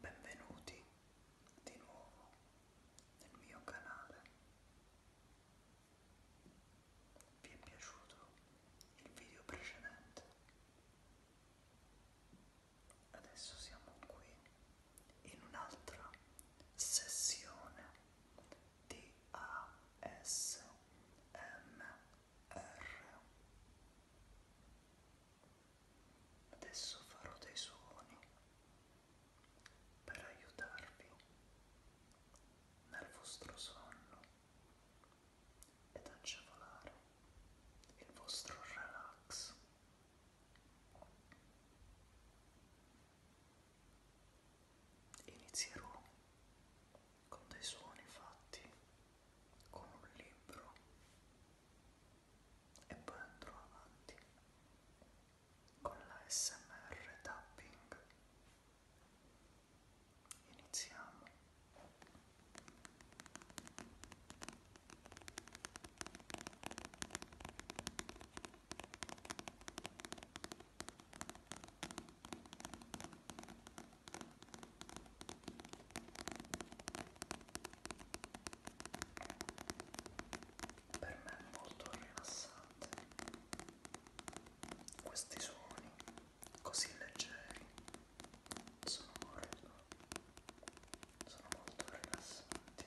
Benvenuti di nuovo nel mio canale. Vi è piaciuto il video precedente? Adesso siamo qui in un'altra sessione D-A-S-M-R. Adesso farò dei suoni per aiutarvi nel vostro sonno ed agevolare il vostro relax. Inizierò con dei suoni fatti con un libro e poi andrò avanti con la SMR tapping. Iniziamo. Inizio per me è molto rilassante questi suoni così leggeri sono molto, sono molto rilassanti.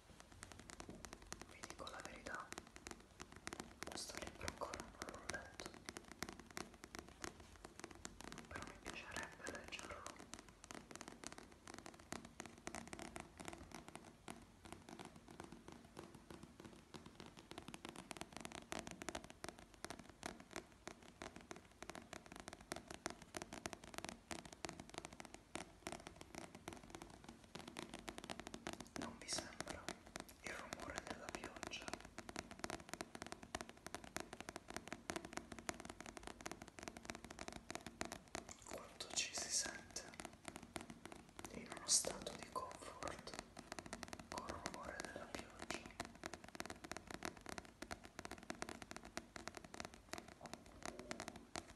vi dico la verità questo libro ancora non l'ho letto però mi piacerebbe leggerlo non vi sembra il rumore della pioggia? Quanto ci si sente in uno stato di comfort col rumore della pioggia?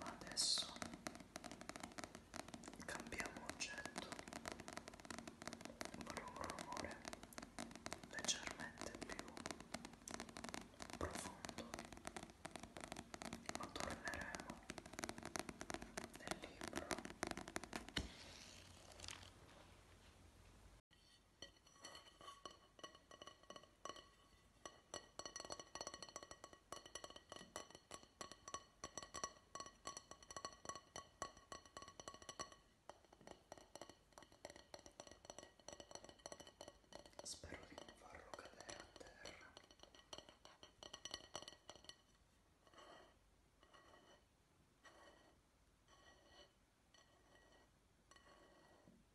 ma adesso cambiamo oggetto farò un rumore leggermente più profondo ma torneremo nel libro Spero di non farlo cadere a terra. Ecco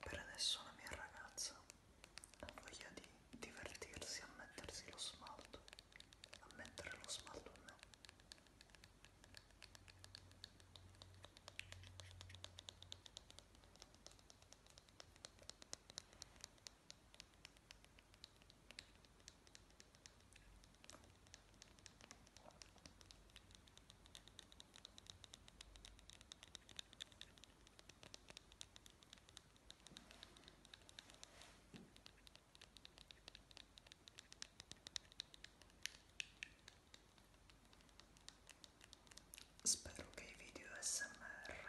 Per adesso la mia ragazza ha voglia di divertirsi a mettersi lo smalto, a mettere lo smalto a me. Spero che i video SMR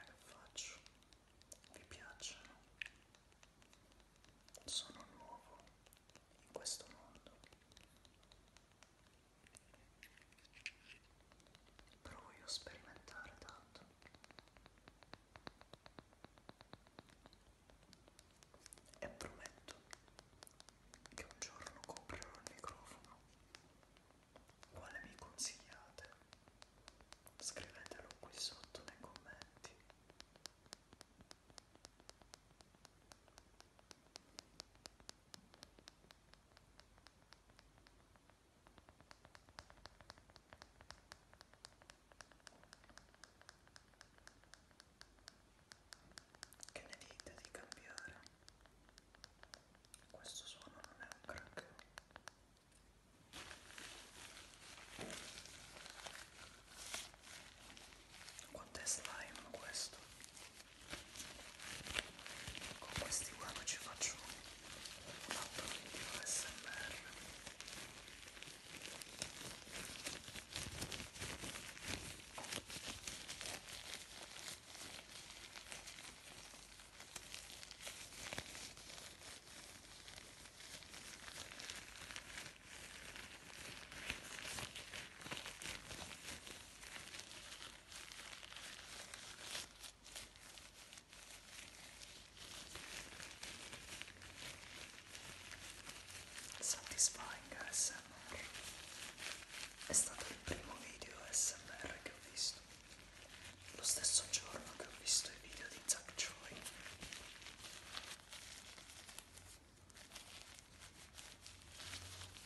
che faccio vi piacciono sono nuovo in questo mondo però voglio sperimentare tanto e prometto che un giorno comprerò il microfono quale mi consigliate scrivetelo qui sotto nei commenti che ne dite di cambiare? Questo suono non è un crack quanto è slime questo? Con questi qua non ci faccio un altro video smr Satisfying ASMR è stato il primo video ASMR che ho visto lo stesso giorno che ho visto i video di Zack Choi.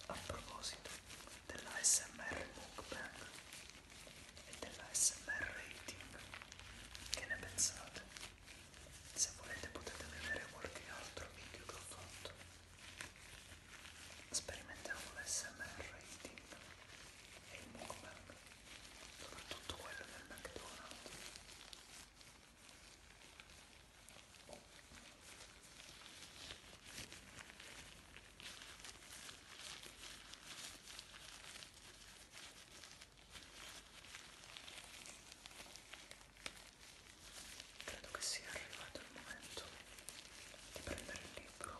A proposito della SMR Mukbang e della SMR Rating, che ne pensate? Se volete potete vedere qualche altro video che ho fatto. Sperimentiamo l'SMR Rating e il Mukbang soprattutto quello del McDonald's credo che sia arrivato il momento di prendere il libro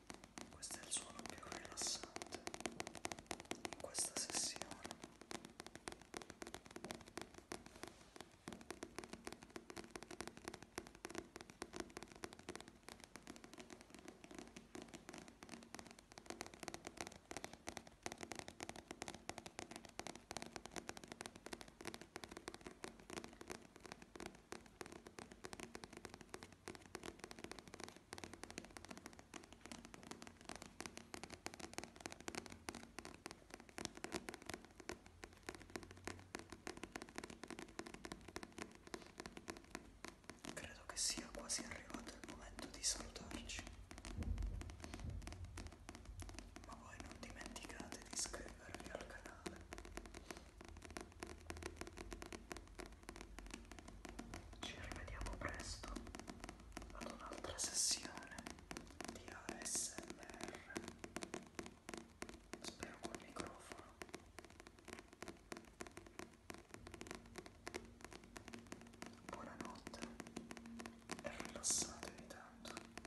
Questo è il suono più rilassante in questa sessione. Credo che sia quasi arrivato il momento di salutarci. Ma voi non dimenticate di iscrivervi al canale ci rivediamo presto ad un'altra sessione di ASMR. Spero col microfono. Buonanotte e rilassatevi tanto.